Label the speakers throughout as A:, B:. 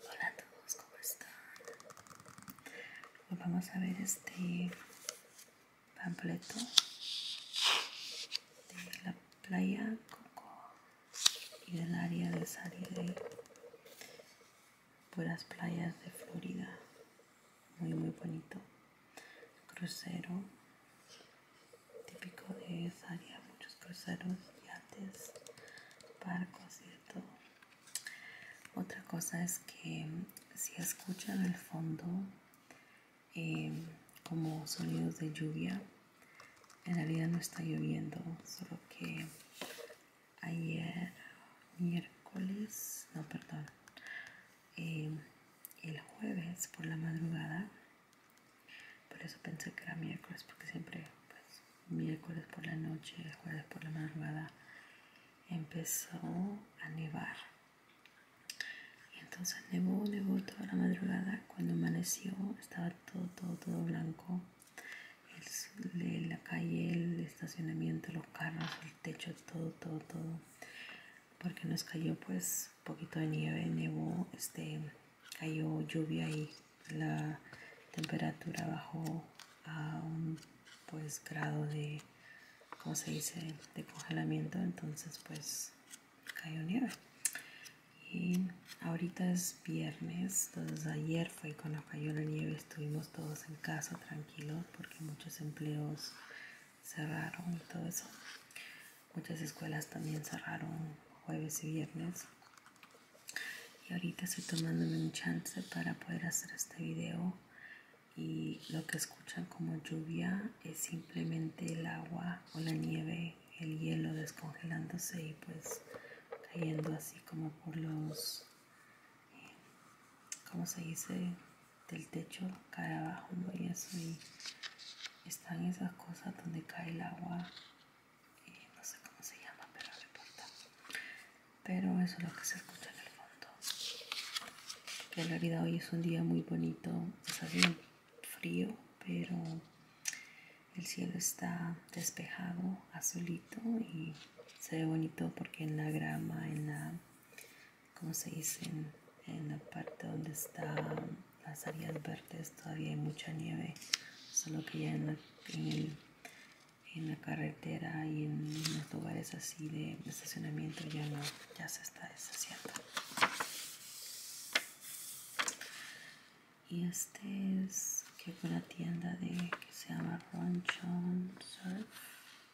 A: Hola a todos, ¿cómo están? Hoy vamos a ver este pampleto de la playa Coco y del área de por las playas de Florida muy muy bonito crucero típico de esa área muchos cruceros yates barcos y todo otra cosa es que si escuchan el fondo eh, como sonidos de lluvia en realidad no está lloviendo solo que ayer miércoles no perdón eh, el jueves por la madrugada. Por eso pensé que era miércoles, porque siempre, pues, miércoles por la noche, el jueves por la madrugada, empezó a nevar. Y entonces nevó, nevó toda la madrugada. Cuando amaneció, estaba todo, todo, todo blanco. la calle, el estacionamiento, los carros, techo, todo, todo, todo. Porque nos cayó pues un poquito de nieve, nevó, este, cayó lluvia y la temperatura bajó a un pues grado de, como se dice?, de congelamiento. Entonces pues cayó nieve. Y ahorita es viernes, entonces ayer fue cuando cayó la nieve estuvimos todos en casa tranquilos porque muchos empleos cerraron y todo eso. Muchas escuelas también cerraron jueves y viernes. Y ahorita estoy tomándome un chance para poder hacer este video. Y lo que escuchan como lluvia es simplemente el agua o la nieve, el hielo descongelándose y pues cayendo así como por los, eh, ¿cómo se dice? del techo cae abajo y eso y están esas cosas donde cae el agua no sé cómo se llama pero no pero eso es lo que se escucha en el fondo en realidad hoy es un día muy bonito está bien frío pero el cielo está despejado azulito y se ve bonito porque en la grama en la como se dice en, la parte donde están las áreas verdes todavía hay mucha nieve solo que ya en la, en la carretera y en los lugares así de estacionamiento ya no ya se está deshaciendo y este es que fue una tienda de que se llama Runchon Surf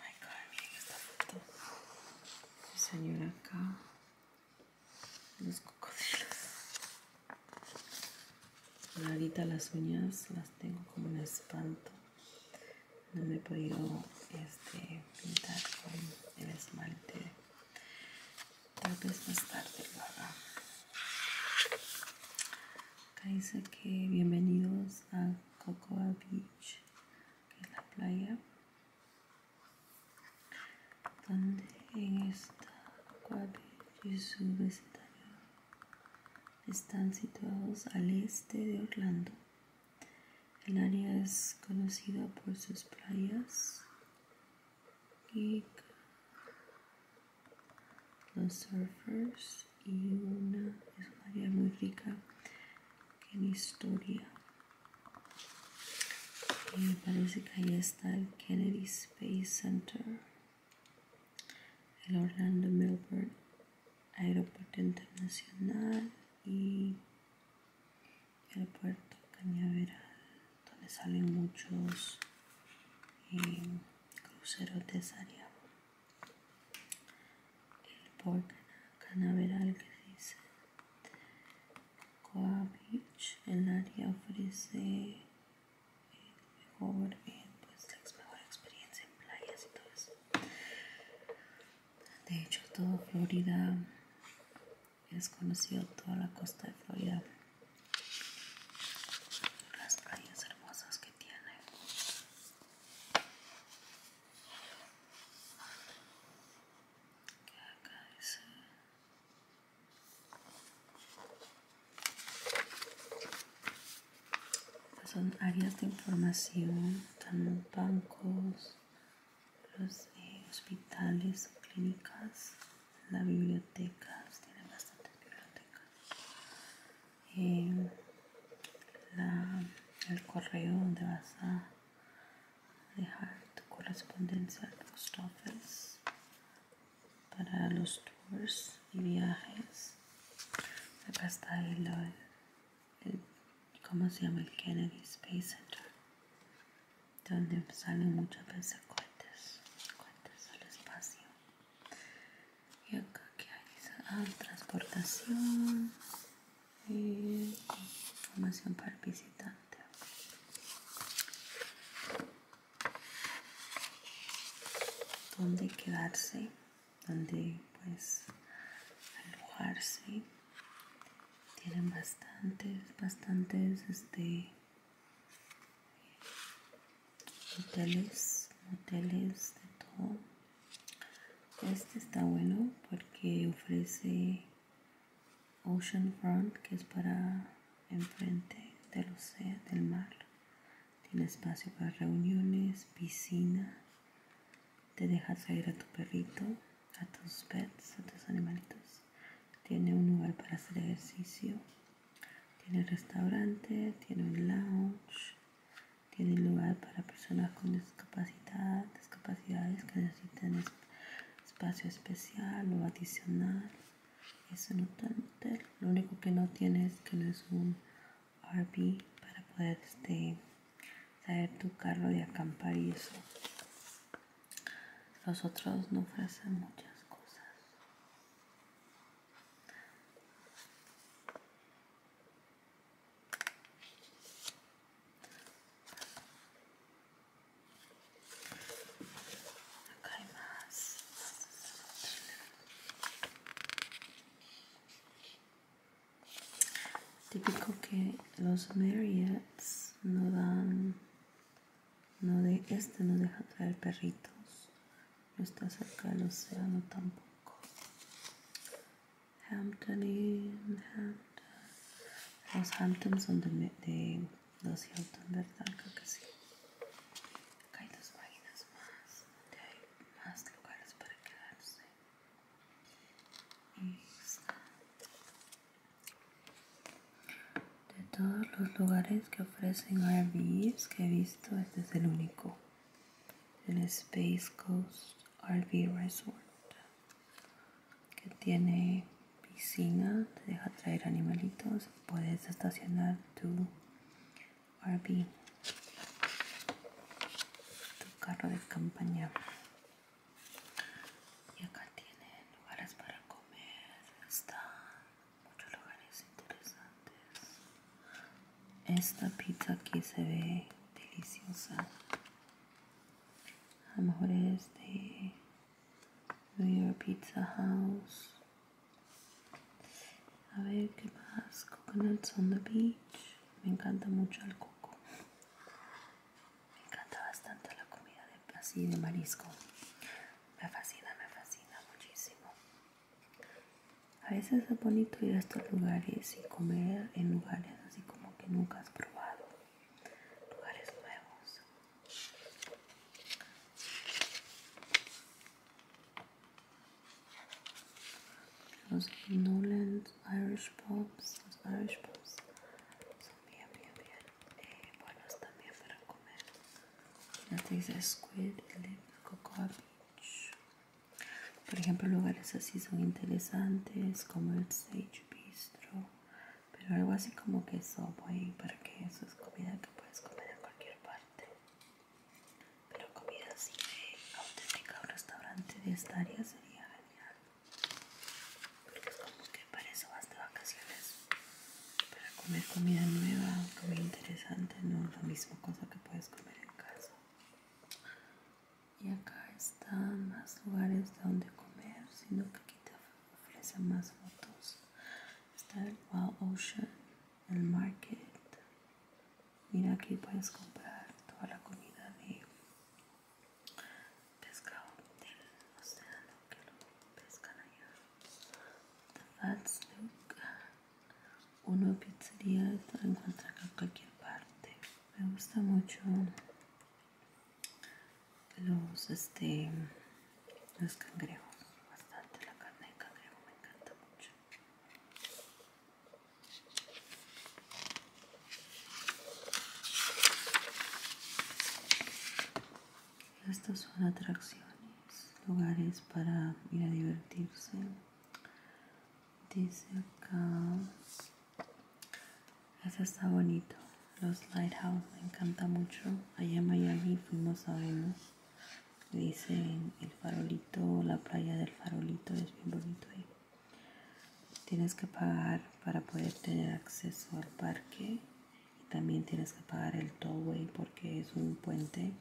A: Ay, cabrón, esta foto. El señor acá. Los cocodrilos. Ahorita las uñas las tengo como un espanto. No me he podido este, pintar con el esmalte. Tal vez más tarde lo haga. Acá dice que bienvenidos a Cocoa Beach que la playa donde está esta y su vecindario están situados al este de Orlando. El área es conocida por sus playas y los surfers y una es muy rica en historia y parece que ahí está el Kennedy Space Center el Orlando Melbourne Aeropuerto Internacional y el puerto Cañaveral donde salen muchos eh, cruceros de esa área el parque canaveral que dice Coa Beach el área ofrece mejor pues, la mejor experiencia en playas y todo eso de hecho toda Florida es conocido toda la costa de Florida las playas hermosas que tiene son áreas de información están bancos los eh, hospitales clínicas la biblioteca tienen bastantes bibliotecas el correo donde vas a dejar tu correspondencia al post office para los tours y viajes acá está el, el se llama el Kennedy Space Center donde salen muchas veces cohetes al espacio y acá que hay ah, transportación y información para visitantes visitante. Dónde quedarse, dónde pues alojarse. Tienen bastantes, bastantes este hoteles, hoteles de todo. Este está bueno porque ofrece Ocean Front, que es para enfrente del océano, del mar. Tiene espacio para reuniones, piscina. Te dejas salir a tu perrito, a tus pets, a tus animalitos. Tiene un lugar para hacer ejercicio. Tiene restaurante, tiene un lounge, tiene lugar para personas con discapacidad, discapacidades que necesitan espacio especial o adicional. no un hotel, lo único que no tiene es que no es un RV para poder este, traer tu carro de acampar y eso. Los otros no ofrecen muchas. cosas. Típico que los Marriotts no dan, no de este no deja traer perritos. No está cerca del océano tampoco. Hampton Inn, Hampton. Los Hamptons son de, los Hilton, ¿verdad? Creo que sí. Acá hay dos páginas más donde hay más lugares para quedarse. De todos los lugares que ofrecen RVs que he visto, este es el único. El Space Coast. RV Resort que tiene piscina, te deja traer animalitos, puedes estacionar tu RV, tu carro de campaña. Y acá tienen lugares para comer, están muchos lugares interesantes. Esta pizza aquí se ve deliciosa. A lo mejor es de New Pizza House. A ver qué más. Coconuts on the beach. Me encanta mucho el coco. Me encanta bastante la comida de, así de marisco. Me fascina, me fascina muchísimo. A veces es bonito ir a estos lugares y comer en lugares así como que nunca has probado, lugares nuevos. Los Nolan Irish Pops los Irish Pubs son bien, bien, bien eh, buenos también para comer. Ya te squid, el cocoa beach, por ejemplo, lugares así son interesantes como el Sage Bistro, pero algo así como que para que eso es comida que puedes comer en cualquier parte. Pero comida así de auténtica, un restaurante de esta área sería genial, porque sabemos que para eso vas de vacaciones, para comer comida nueva, comida interesante, no es la misma cosa que puedes comer en casa y acá están más lugares donde comer sino que aquí te ofrecen más fotos está el Wild Ocean el Market mira aquí puedes comprar toda la comida de pescado sea lo que lo pescan allá the Fats uno pizzería la lo encuentra en cualquier parte. Me gusta mucho los este los cangrejos, bastante la carne de cangrejo me encanta mucho. Estas son atracciones, lugares para ir a divertirse dice acá ese está bonito los lighthouse me encanta mucho allá en Miami fuimos a Venus dicen el farolito la playa del farolito es bien bonito ahí tienes que pagar para poder tener acceso al parque y también tienes que pagar el towway porque es un puente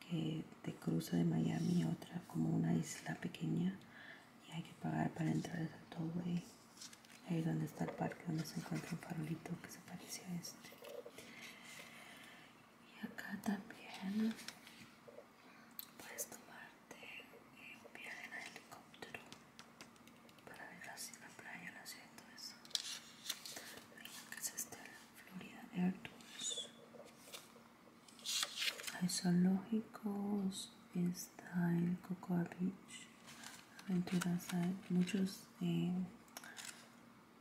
A: que te cruza de Miami a otra como una isla pequeña y hay que pagar para entrar al tollway ahí donde está el parque donde se encuentra un farolito que se parece a este y acá también puedes tomarte un viaje en helicóptero para ver así la playa, la ciudad y todo eso que es este Florida Air Tours hay zoológicos, está el Cocoa Beach, aventuras muchos mis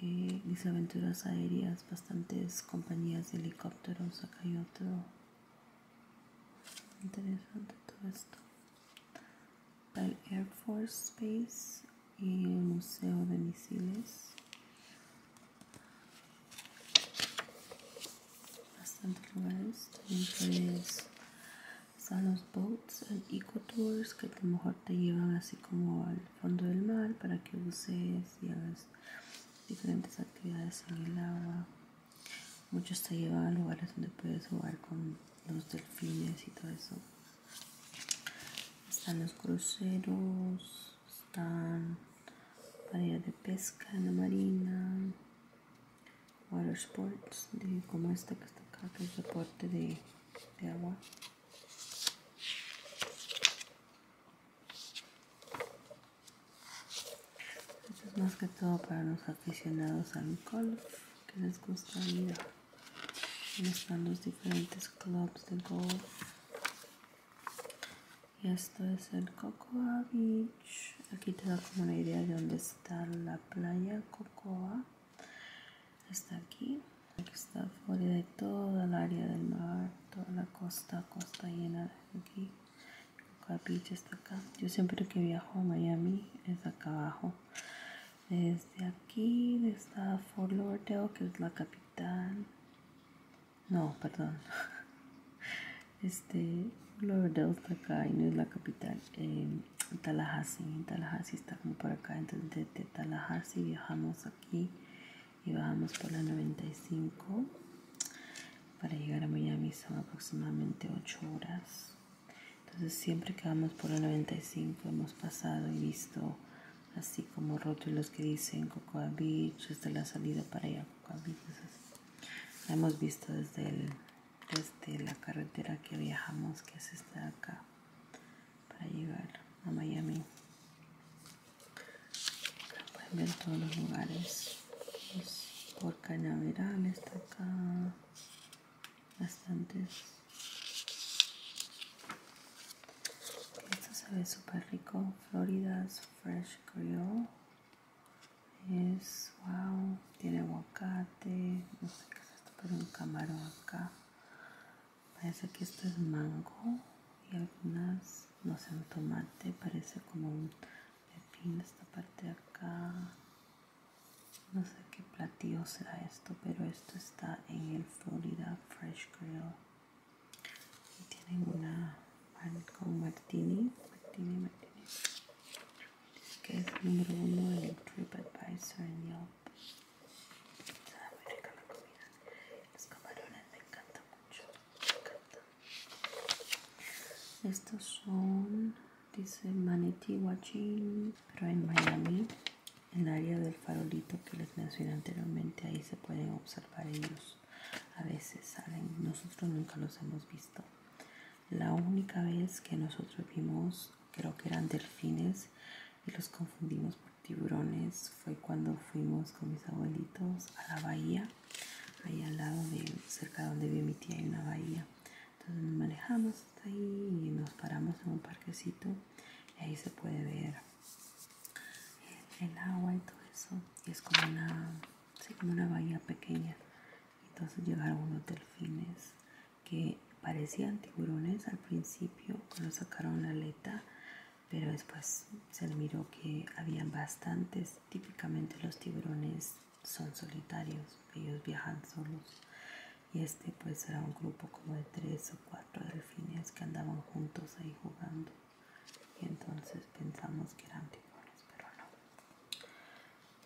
A: eh, eh, aventuras aéreas, bastantes compañías de helicópteros, acá hay otro. Interesante todo esto. El Air Force Space y el Museo de Misiles bastante lugares. También están los boats, el eco que a lo mejor te llevan así como al fondo del mar para que uses y hagas diferentes actividades en el agua. Muchos te llevan a lugares donde puedes jugar con los delfines y todo eso. Están los cruceros, están área de pesca en la marina, water sports, de, como este que está acá, que es deporte de, agua. Esto es más que todo para los aficionados al golf que les gusta ir. Están los diferentes clubs de golf y esto es el Cocoa Beach aquí te da como una idea de dónde está la playa Cocoa está aquí está fuera de toda el área del mar toda la costa costa llena de aquí Cocoa Beach está acá yo siempre que viajo a Miami es acá abajo desde aquí está Fort Lauderdale que es la capital no, perdón. Este, verdad está acá y no es la capital. Em, Tallahassee, Tallahassee está como por acá. Entonces, desde Tallahassee viajamos aquí y bajamos por la 95 para llegar a Miami son aproximadamente 8 horas. Entonces siempre que vamos por la 95 hemos pasado y visto así como roto los que dicen Cocoa Beach, desde la salida para allá, Cocoa Beach, la hemos visto desde, la carretera que viajamos, que es esta de acá, para llegar a Miami. pueden ver todos los lugares, por Canaveral está acá, bastantes. Esto se ve súper rico Florida's Fresh Grill. Es, wow, tiene aguacate, no sé qué es esto, pero un camarón acá. Parece que esto es mango y algunas, no sé, un tomate, parece como un pepino esta parte de acá. No sé qué platillo será esto, pero esto está en el Florida Fresh Grill. Y tienen una pan con martini, martini, martini, que es número uno en TripAdvisor en Yelp. Está muy rica la comida. Los camarones me encantan mucho, me encanta Estos son, dice Manatee Watching, pero en Miami, el área del farolito que les mencioné anteriormente, ahí se pueden observar para ellos. A veces salen, nosotros nunca los hemos visto. La única vez que nosotros vimos, creo que eran delfines y los confundimos por tiburones, fue cuando fuimos con mis abuelitos a la bahía, ahí al lado de, cerca donde vive mi tía, hay una bahía. Entonces nos manejamos hasta ahí y nos paramos en un parquecito ahí se puede ver el, agua y todo eso y es como una como una bahía pequeña entonces llegaron unos delfines que parecían tiburones al principio cuando sacaron la aleta pero después se admiró miró que habían bastantes típicamente los tiburones son solitarios ellos viajan solos y este pues era un grupo como de tres o cuatro delfines que andaban juntos ahí jugando y entonces pensamos que eran tiburones pero no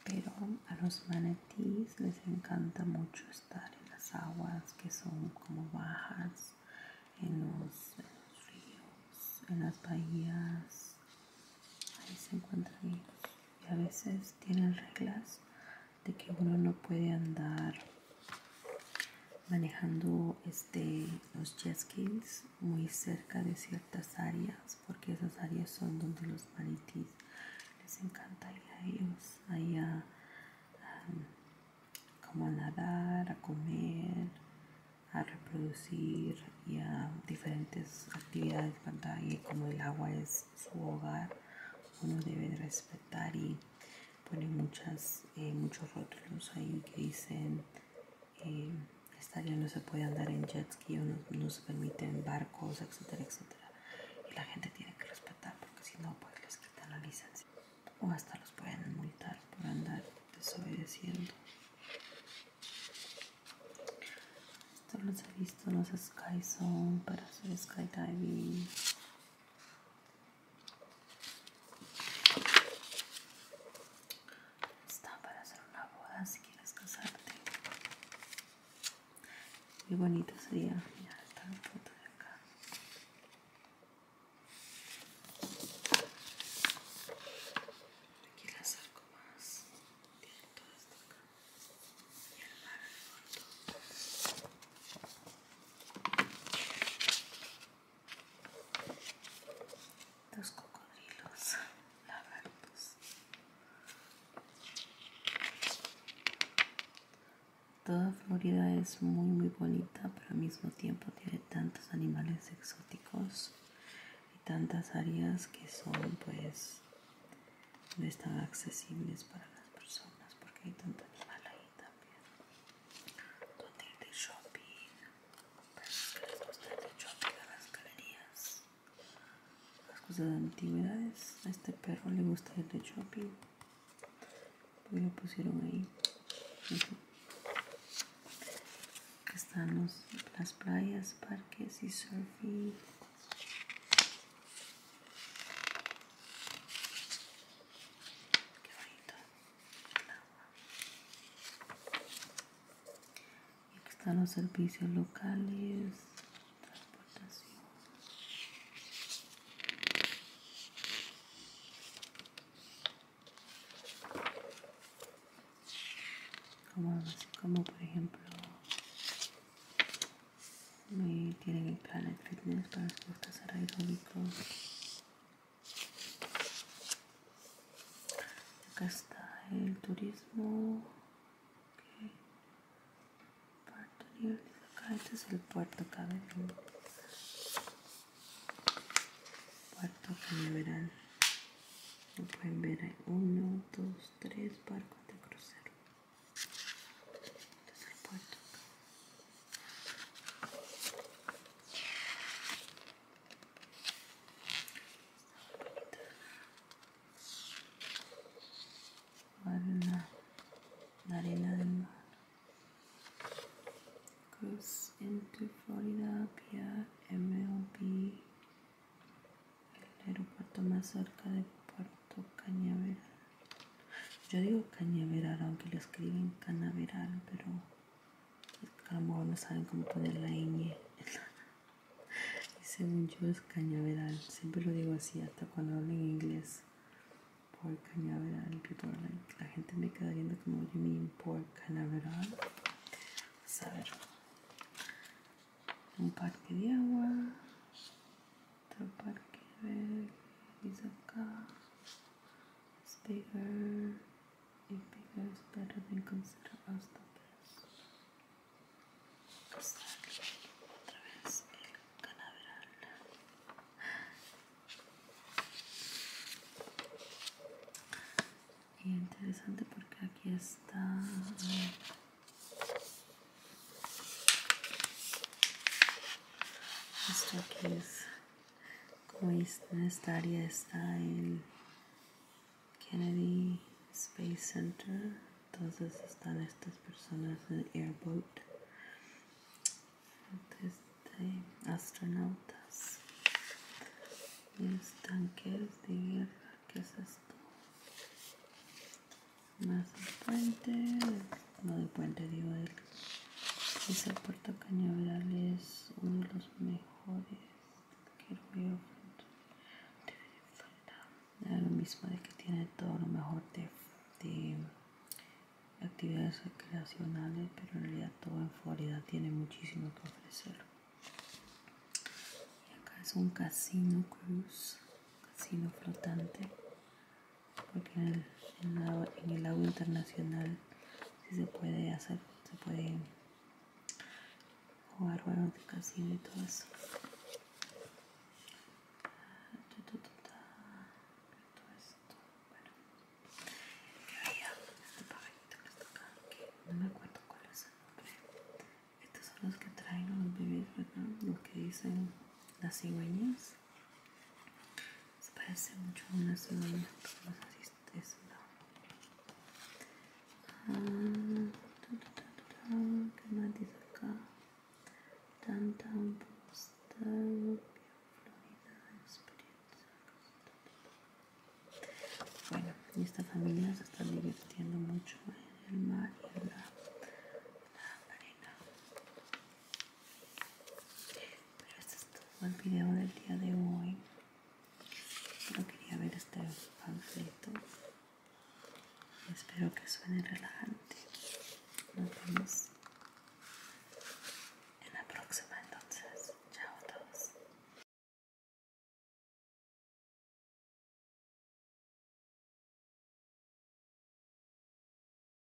A: pero a los manatíes les encanta mucho estar en las aguas que son como bajas en los, en ríos en las bahías ahí se encuentran y a veces tienen reglas de que uno no puede andar manejando este, los jet skis muy cerca de ciertas áreas, porque esas áreas son donde los maritis les encanta ir a ellos, ahí a, nadar, a comer, a reproducir y a diferentes actividades, cuando como el agua es su hogar, uno debe respetar y ponen muchas, eh, muchos rótulos ahí que dicen eh, esta no se puede andar en jet ski o no, se permiten barcos, etcétera, etcétera. Y la gente tiene que respetar porque si no, pues les quitan la licencia o hasta los pueden multar por andar desobedeciendo. Esto los he visto los Sky para hacer skydiving. Está para hacer una boda si quieres casarte. Qué bonito sería. Mira, está la foto de acá. Aquí la saco más. Tiene todo esto acá. Y el mar el fondo. Los cocodrilos lagartos. Toda Florida es muy muy bonita, pero al mismo tiempo tiene tantos animales exóticos y tantas áreas que son pues no están accesibles para las personas porque hay tanto animal ahí también. todo ir de shopping. perros que les gusta el de shopping a las galerías. Las cosas de antigüedades. A este perro le gusta el de shopping. Pues lo pusieron ahí. están las playas, parques y surfing. Qué bonito aquí están los servicios locales, Como, como por ejemplo me tienen el Planet Fitness para deportes aeróbicos Acá está el turismo. Puerto Acá este es el puerto acá Puerto que como pueden ver hay uno, dos, tres barcos de crucero. Este es el puerto. la arena del mar. Goes into Florida via MLB, el aeropuerto más cerca de Puerto Cañaveral. Yo digo cañaveral, aunque lo escriben canaveral, pero a lo mejor no saben cómo poner la ñ. y según yo es cañaveral, siempre lo digo así, hasta cuando hablo en inglés. Por cañaveral, la gente me queda viendo como you mean por canaveral. Vamos pues, a ver. Un parque de agua. Otro parque verde. acá. It's bigger. If better, than consider us Otra vez el canaveral. Y interesante porque aquí está. Esto es en esta área está el Kennedy Space Center. Entonces están estas personas en airboat. astronautas. Los tanques de guerra. ¿Qué es esto? Más al no de puente digo de ese puerto cañaveral es uno de los mejores que veo lo mismo de que tiene todo lo mejor de, actividades recreacionales pero en realidad todo en Florida tiene muchísimo que ofrecer y acá es un casino cruz casino flotante porque en el, en agua internacional se puede hacer, se puede jugar bueno de casino y todo eso. Todo esto, bueno, este pajarito que está acá, que no me acuerdo cuál es el nombre. Estos son los que traen los bebés, Los que dicen las cigüeñas. Se parece mucho a una pero tan acá? Bueno, y esta familia se está divirtiendo mucho en el mar y la arena. Pero este es todo el video del día de hoy. no quería ver este panfleto. Espero que suene relajante. Nos vemos en la próxima entonces. Chao a todos.